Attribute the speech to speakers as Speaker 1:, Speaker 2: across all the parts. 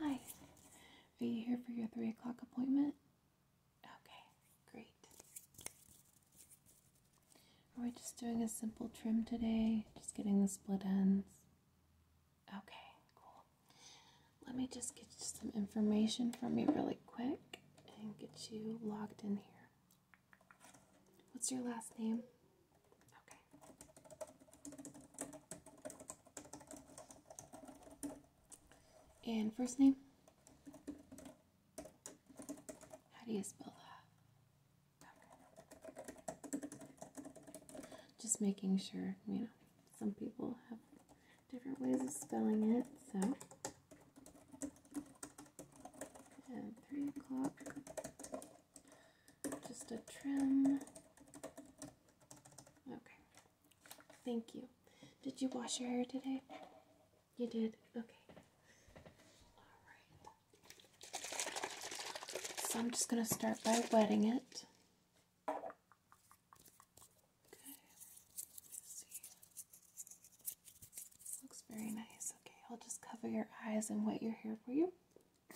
Speaker 1: Hi, are you here for your 3 o'clock appointment? Okay, great. Are we just doing a simple trim today? Just getting the split ends? Okay, cool. Let me just get you some information from you really quick and get you logged in here. What's your last name? Okay. And first name? How do you spell that? Just making sure, you know, some people have different ways of spelling it, so just a trim. Okay. Thank you. Did you wash your hair today? You did? Okay. Alright. So I'm just going to start by wetting it. Okay. Let's see. Looks very nice. Okay, I'll just cover your eyes and wet your hair for you. Okay.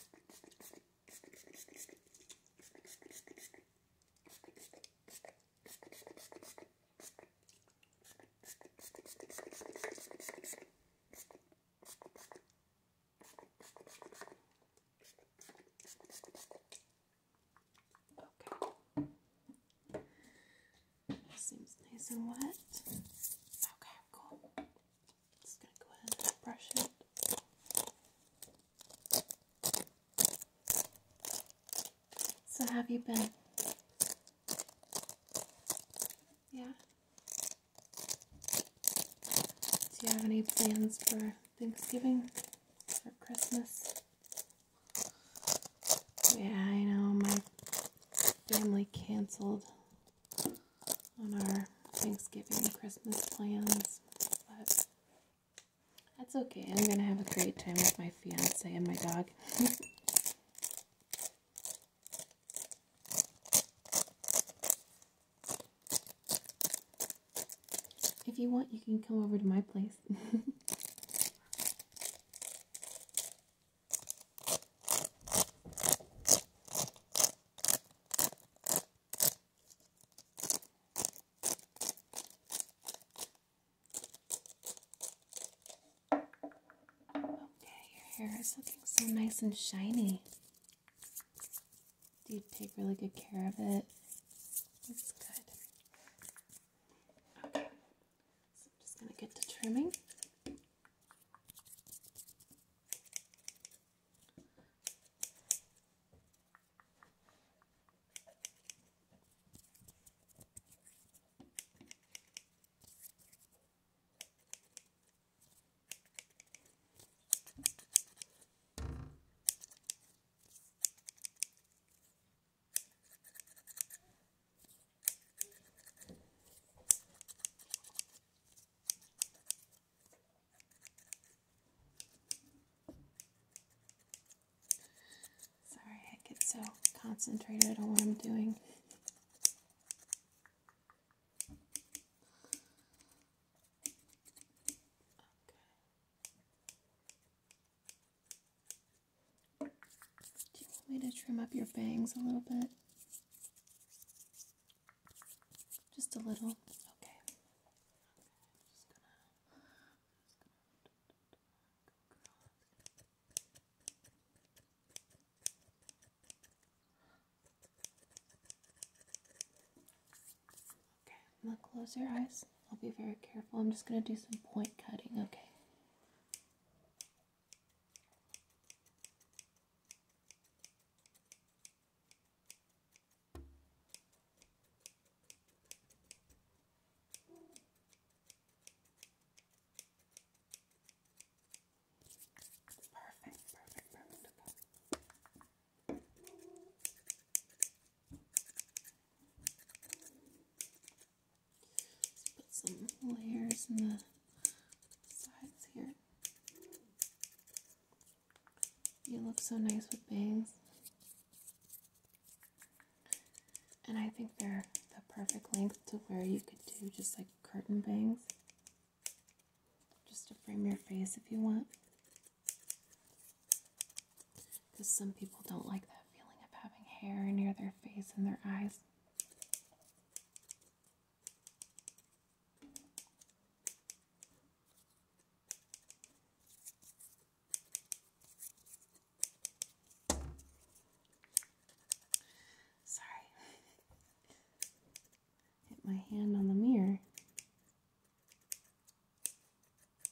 Speaker 1: Seems nice and wet. Okay, cool. Just going to go ahead and brush it. So, have you been? Yeah. Do you have any plans for Thanksgiving or Christmas? Yeah, I know my family canceled on our Thanksgiving Christmas plans, but that's okay. I'm gonna have a great time with my fiance and my dog. if you want, you can come over to my place. Okay, your hair is looking so nice and shiny. Do you take really good care of it? That's good. So I'm just going to get to trimming. Sorry, I get so concentrated on what I'm doing. Okay. Do you want me to trim up your bangs a little bit? Just a little. Okay i close your eyes. I'll be very careful. I'm just gonna do some point cutting, okay? Perfect, perfect, perfect put some layers in the sides here. You look so nice with bangs. And I think they're the perfect length to where you could do just like curtain bangs. Just to frame your face if you want. Because some people don't like that feeling of having hair near their face and their eyes. Sorry. Hit my hand on the mirror.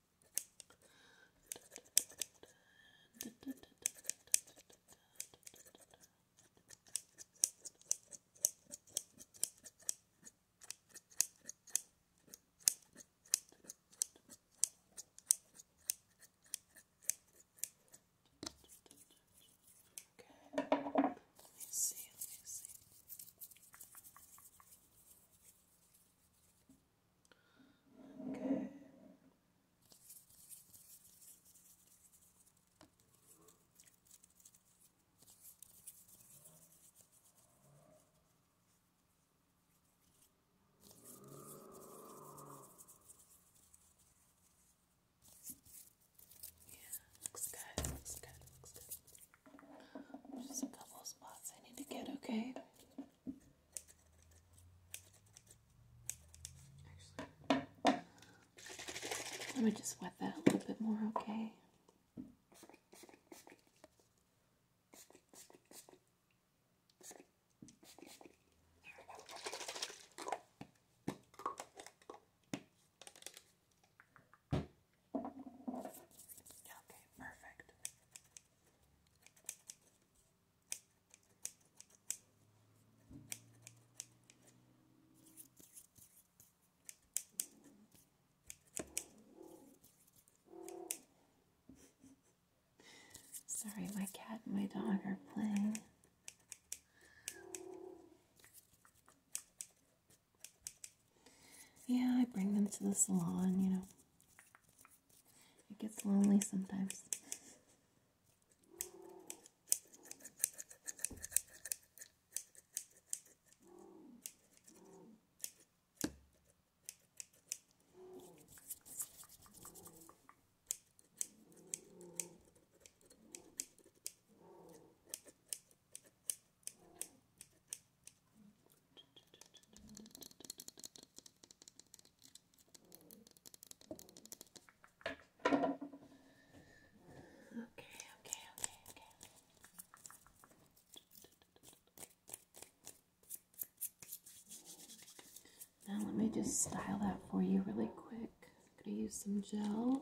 Speaker 1: Okay, let me see, let me see. Okay. Yeah, looks good, looks good, looks good. Just a couple spots I need to get, okay? let me just wet that a little bit more, okay? Okay, perfect. Sorry, my cat and my dog are playing. Yeah, I bring them to the salon, you know. It gets lonely sometimes. Okay, okay, okay, okay. Now let me just style that for you really quick. I'm gonna use some gel.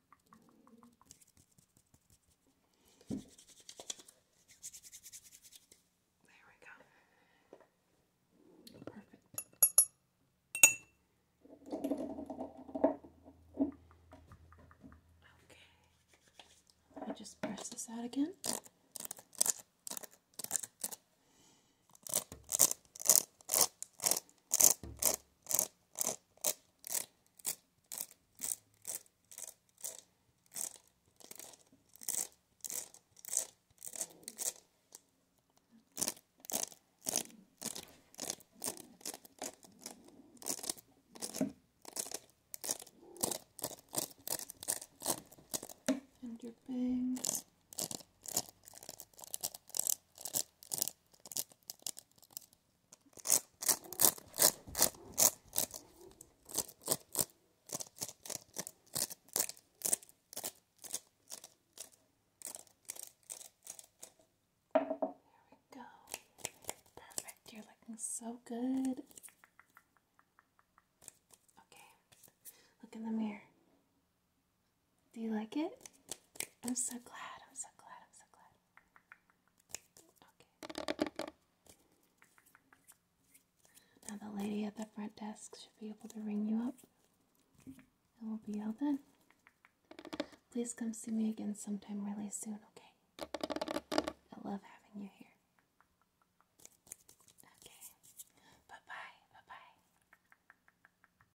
Speaker 1: There we go. Perfect. Okay. Let me just press this out again and your bangs we go. Perfect. You're looking so good. Okay. Look in the mirror. Do you like it? I'm so glad. I'm so glad. I'm so glad. Okay. Now the lady at the front desk should be able to ring you up. And we'll be all done. Please come see me again sometime really soon, okay? I love having you here. Okay. Bye-bye. Bye-bye.